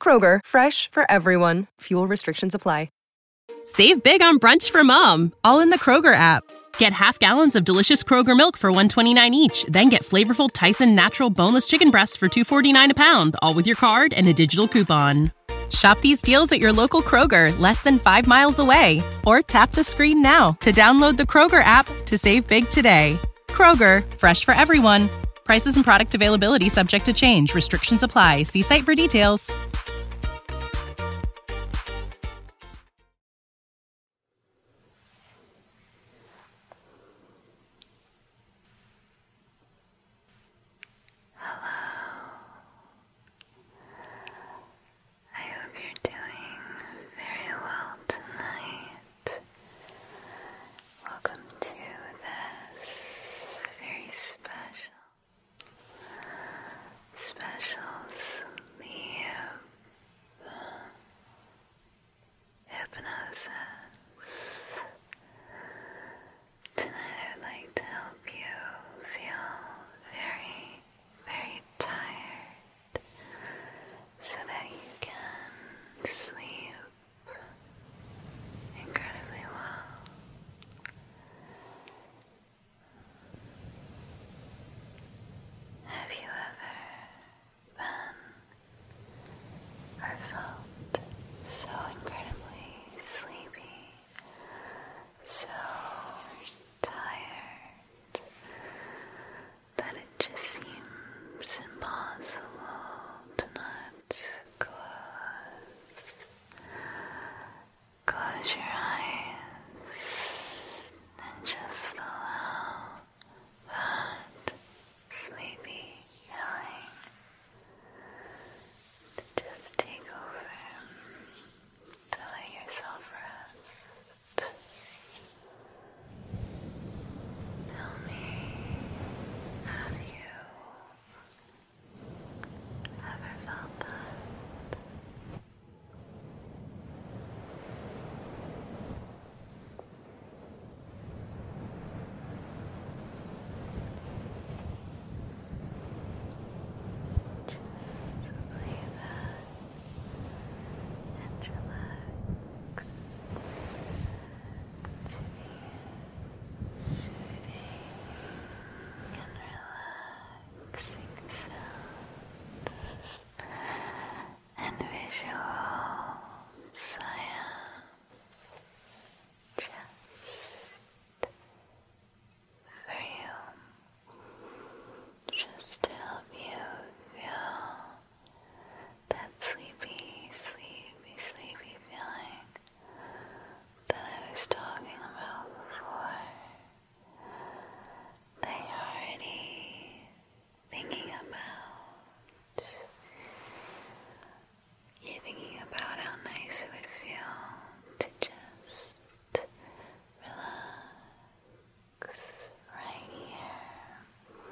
Kroger, fresh for everyone. Fuel restrictions apply. Save big on brunch for mom, all in the Kroger app. Get half gallons of delicious Kroger milk for 129 each, then get flavorful Tyson natural boneless chicken breasts for 249 a pound, all with your card and a digital coupon. Shop these deals at your local Kroger, less than 5 miles away, or tap the screen now to download the Kroger app to save big today. Kroger, fresh for everyone. Prices and product availability subject to change. Restrictions apply. See site for details. Hello. I hope you're doing very well tonight. Welcome to this very special, special sleep hypnosis. Tonight I would like to help you feel very, very tired so that you can sleep incredibly well. Have you ever been or felt so incredibly sleepy, so tired that it just seems impossible to not close. Close your eyes and just allow that sleepy feeling to just take over, to let yourself rest. Tell me, have you ever felt that? Just lay back and relax and relaxing sound and visual science just for you, just to help you feel that sleepy, sleepy, sleepy feeling that I was talking about before. That already thinking about. you thinking about how nice it would feel to just relax right here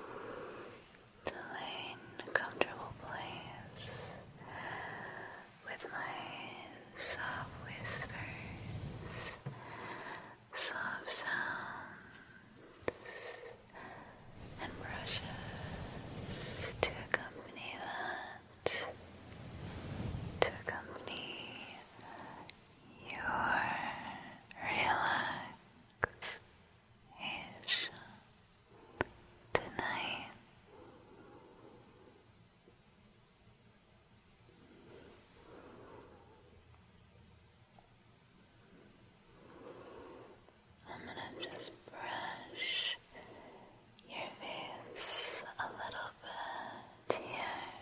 to lay a comfortable place with my soft whispers, soft sounds, and brushes to accompany that, to accompany your relaxed is tonight. I'm gonna just brush your face a little bit here,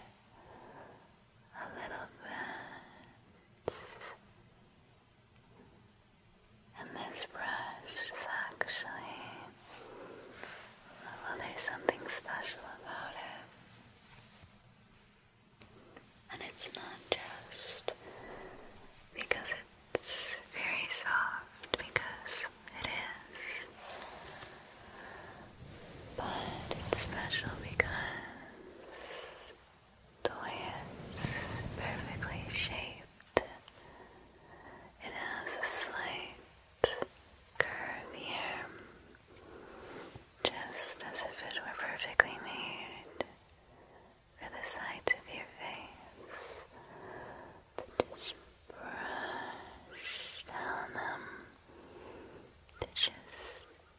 a little bit. And this brush is actually, well, there's something special about it. And it's not just because it's very soft, because it is. But it's special because the way it's perfectly shaped, it has a slight curve here, just as if it were perfectly made for the sides of your face. So just brush down them to just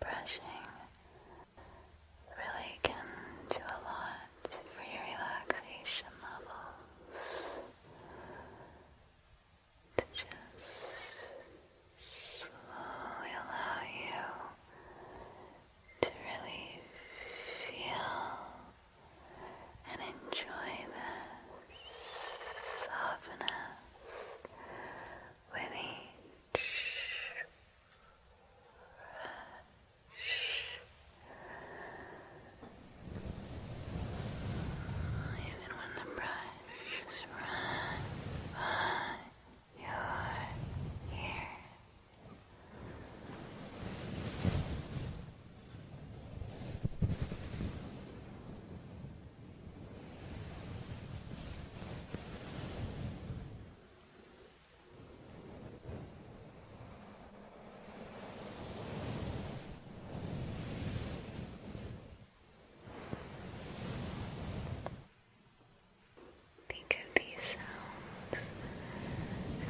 brushing really can do a lot for your relaxation levels to just slowly allow you to really feel and enjoy this softness with each brush. Even when the brush is right by your Think of these sounds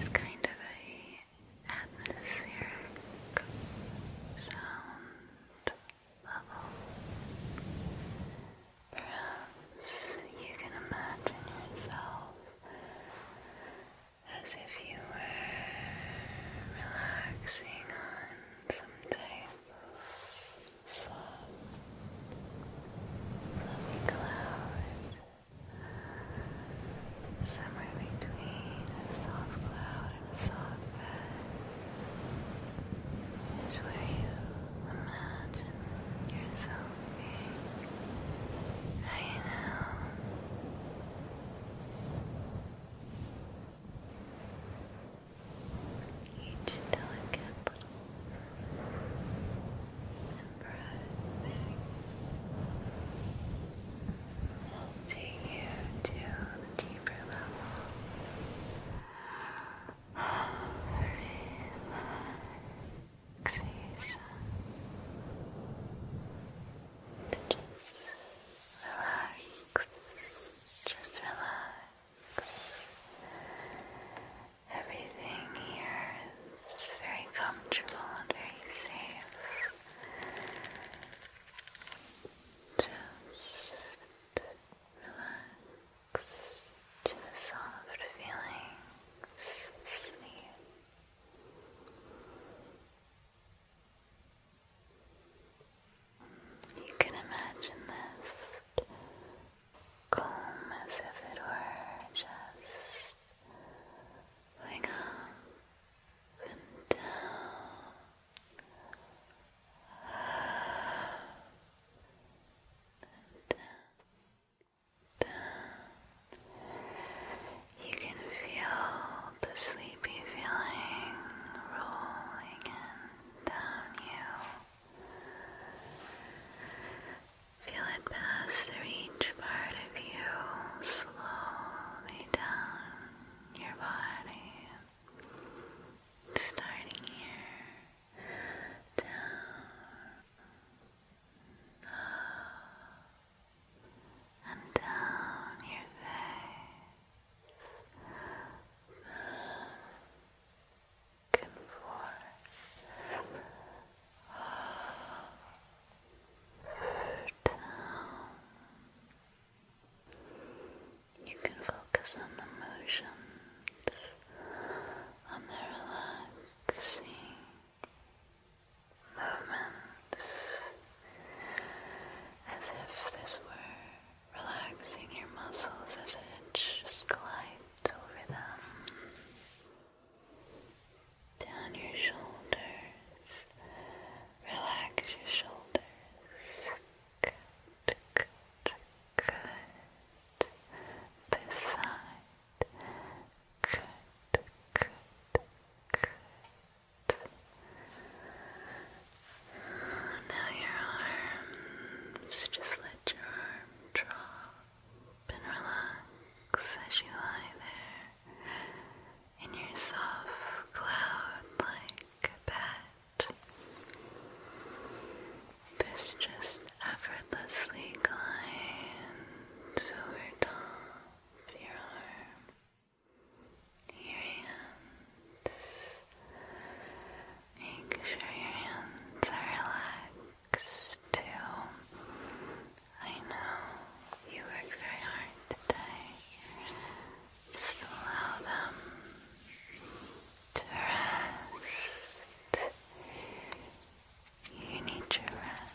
as kind of a atmospheric sound Perhaps you can imagine yourself as if you were relaxing on some type of soft, fluffy cloud, somewhere between a soft cloud out in a soft bed is where you imagine yourself being right now. Each delicate and breath will take you to the deeper level just relax. Just relax. Everything here is very comfortable and very safe. Just Relax to the soft feelings You can imagine this calm as if it were just going up and down down, down. You can feel the sleepy feeling rolling in down you. Feel it pass through each part of you slowly down your body starting here, down, up, and down your face, back and forth, up, down. You can focus on the motions, on the relaxing movements, as if this were relaxing your muscles as it just glides over them. Down your shoulders, relax your shoulders good, Now your arms, just let your arm drop and relax as you lie there in your soft cloud like bed. This just effortlessly glides over top of your arm, your hands. Make sure your hands are relaxed too. I know you worked very hard today. Just allow them to rest. You need to rest.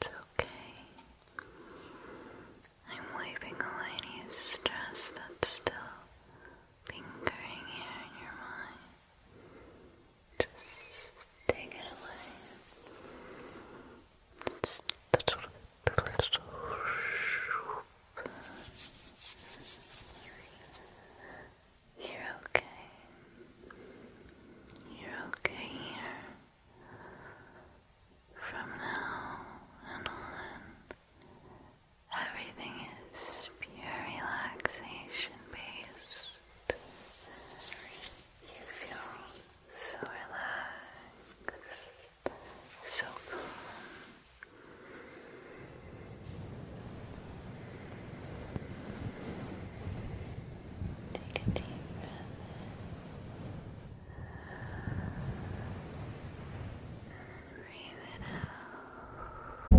It's okay. I'm wiping away any stress that's still lingering here in your mind. Just take it away. It's you're okay. You're okay here. From now on, everything is pure relaxation based. You feel so relaxed, so calm. Take a deep breath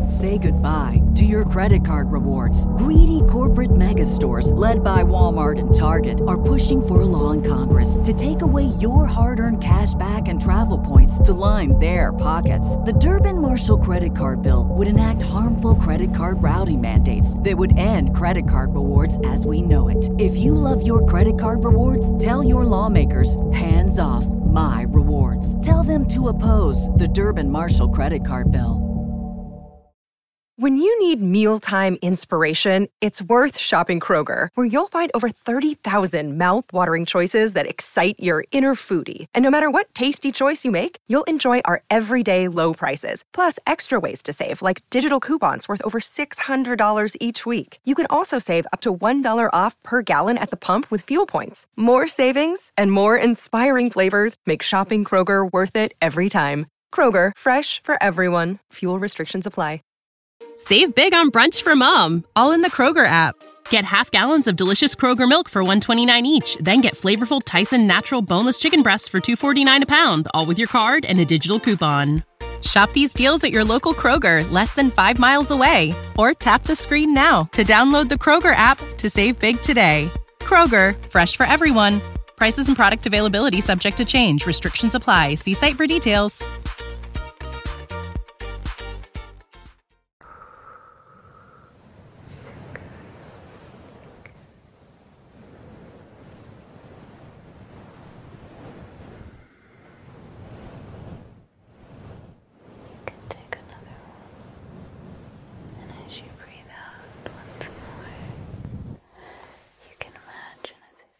Say goodbye to your credit card rewards. Greedy corporate mega stores, led by Walmart and Target, are pushing for a law in Congress to take away your hard earned cash back and travel points to line their pockets. The Durbin Marshall credit card bill would enact harmful credit card routing mandates that would end credit card rewards as we know it. If you love your credit card rewards, tell your lawmakers, hands off my rewards. Tell them to oppose the Durban Marshall credit card bill. When you need mealtime inspiration, it's worth shopping Kroger, where you'll find over 30,000 thousand mouth-watering choices that excite your inner foodie. And no matter what tasty choice you make, you'll enjoy our everyday low prices, plus extra ways to save, like digital coupons worth over $600 each week. You can also save up to $1 off per gallon at the pump with fuel points. More savings and more inspiring flavors make shopping Kroger worth it every time. Kroger, fresh for everyone. Fuel restrictions apply. Save big on brunch for mom, all in the Kroger app. Get half gallons of delicious Kroger milk for 129 each, then get flavorful Tyson natural boneless chicken breasts for 249 a pound, all with your card and a digital coupon. Shop these deals at your local Kroger, less than five miles away, or tap the screen now to download the Kroger app to save big today. Kroger, fresh for everyone. Prices and product availability subject to change. Restrictions apply. See site for details. You can take another one, and as you breathe out once more, you can imagine as if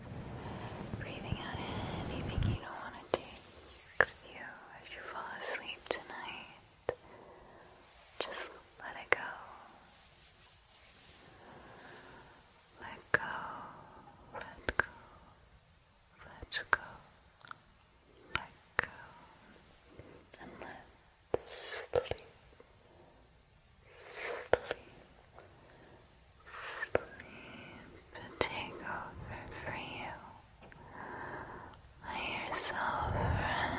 you were breathing out anything you don't want to take with you as you fall asleep tonight. Just let it go. Let go, let go, let go, let go, and let sleep, sleep, sleep take over for you. Let yourself rest.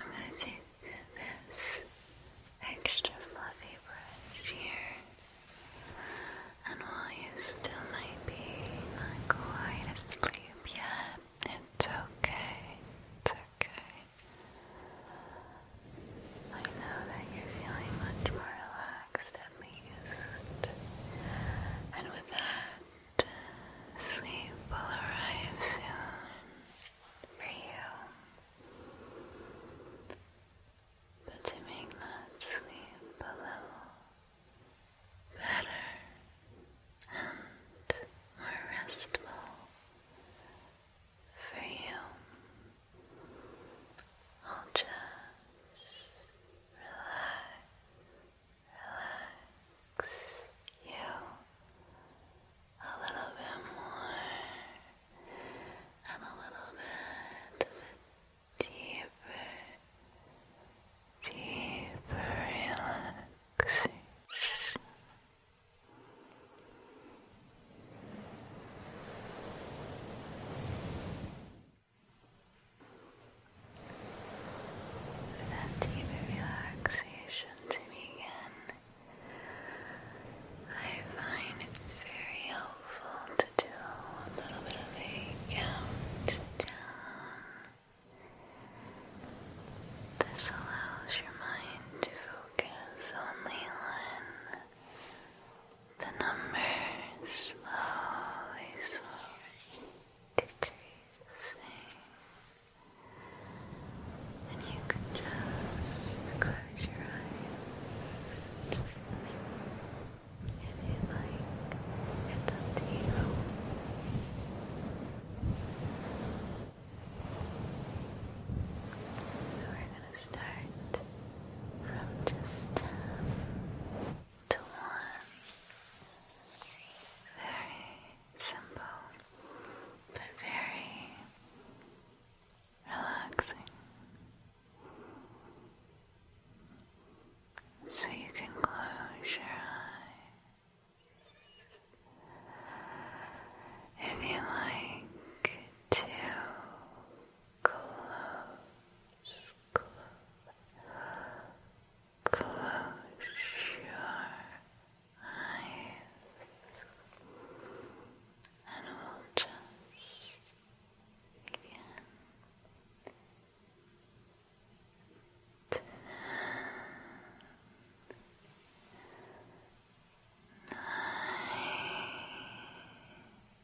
I'm going to take this extra fluffy brush here, and while you still might be not quite asleep yet, it's okay. It's okay. I know that you're feeling much more relaxed and with that, sleep will arrive soon for you. But to make that sleep a little better and more restful for you, I'll just relax you a little bit more and a little bit deeper, deeper relaxation. With that deep relaxation to begin, I find it's very helpful to do a little bit of a count down. This allows your mind to focus only on the numbers slowly, slowly decreasing, and you can just close your eyes, just listen like. It's up to you. So we're going to start from just to one. Very simple, but very relaxing. So you can close your eyes. If you like to close, close, your eyes, and we'll just begin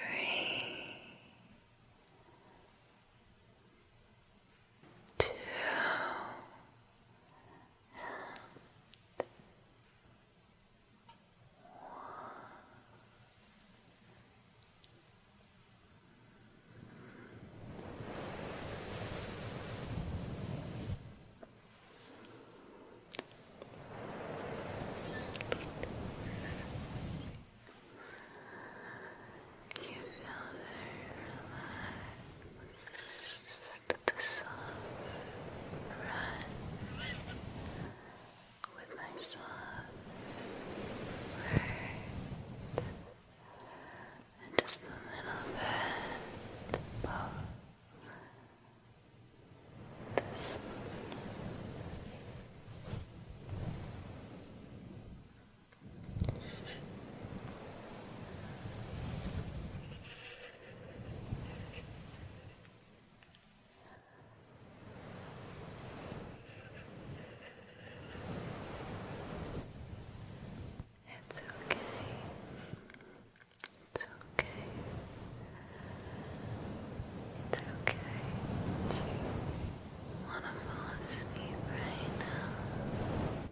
three, two, and one. You feel very relaxed. The sun rush with my soft words and just a little bit both this one. It's okay. It's okay. It's okay to want to fall asleep right now.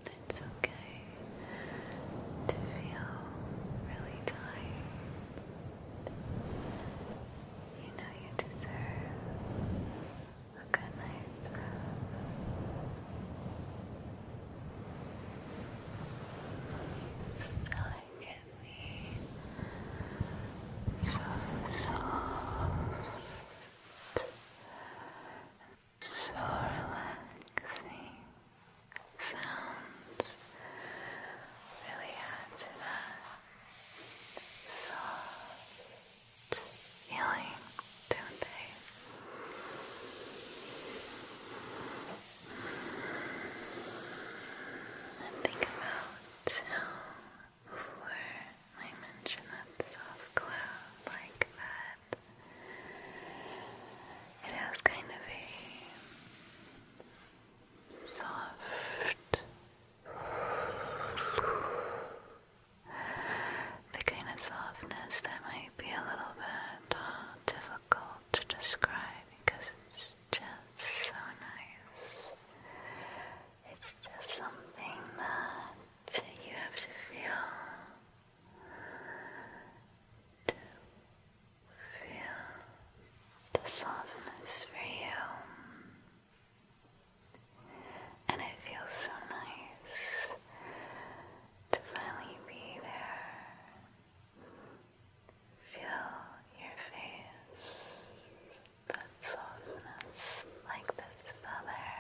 It's okay to feel really tired. You know you deserve a good night's rest. Delicately, so soft, so relaxing sounds really add that soft feeling, don't they? And think about how before I mention that soft cloud like that, it has kind of a soft, the kind of softness that might be a little bit uh, difficult to describe because it's just so nice. It's just something that you have to feel to feel the softness for you. And it feels so nice to finally be there Feel your face, that softness like this feather,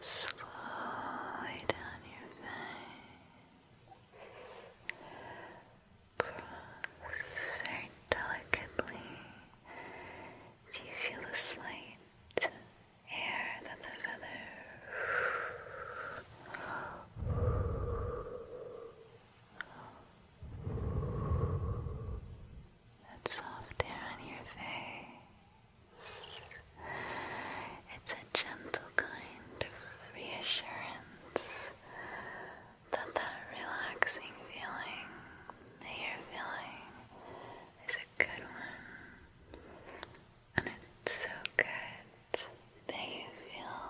slowly down your face, cross very delicately. Do you feel a slight hair than the feather. That soft hair on your face. It's a gentle kind of reassurance that that relaxing feeling that you're feeling is a good one. And it's so good that you feel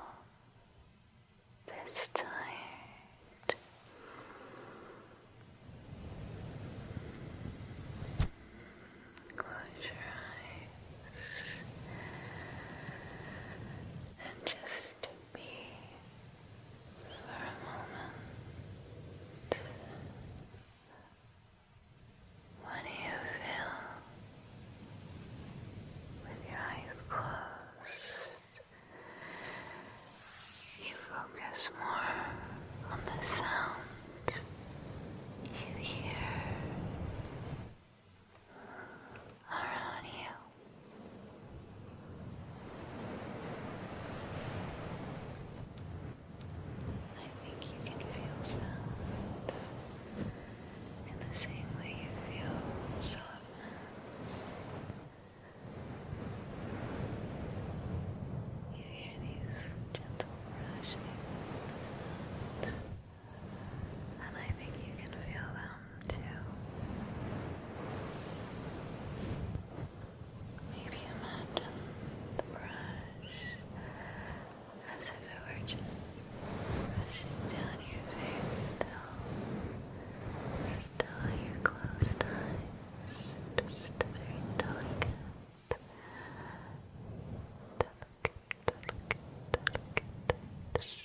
this tired. Close your eyes and just be for a moment when you feel with your eyes closed? You focus more on the sound you hear around you. I think you can feel sound in the same way you feel softness. You hear these gentle brushing and I think you can feel them too. Maybe imagine the brush as if it were just rushing down your face still, still your closed eyes, just very delicate, delicate, delicate, delicate, just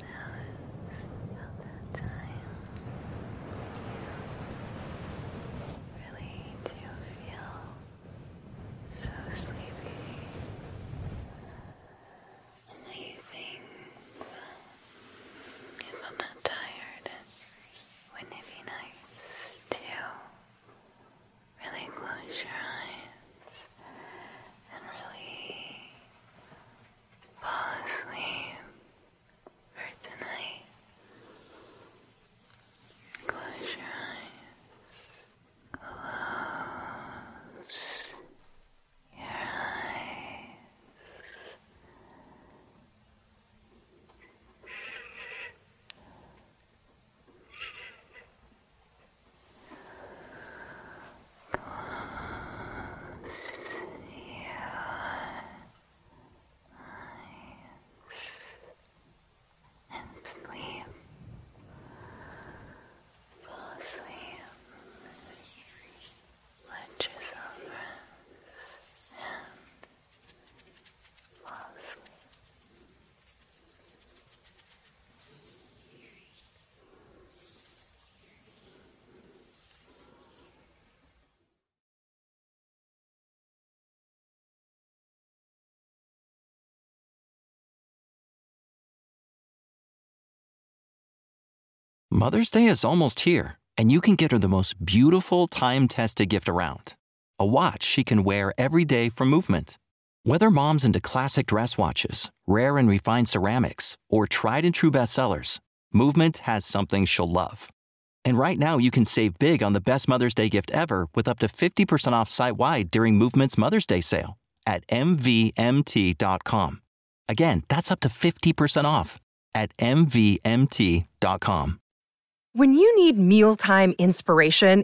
Now is about that time really do feel so sleepy. Amazing. If I'm not tired, wouldn't it be nice to Really close your eyes and really fall asleep for tonight. Close your eyes. Close your eyes eyes and sleep. Fall asleep. Let yourself rest and fall asleep. Mother's Day is almost here, and you can get her the most beautiful time tested gift around a watch she can wear every day for movement. Whether mom's into classic dress watches, rare and refined ceramics, or tried and true bestsellers, Movement has something she'll love. And right now, you can save big on the best Mother's Day gift ever with up to 50% off site wide during Movement's Mother's Day sale at MVMT.com. Again, that's up to 50% off at MVMT.com. When you need mealtime inspiration,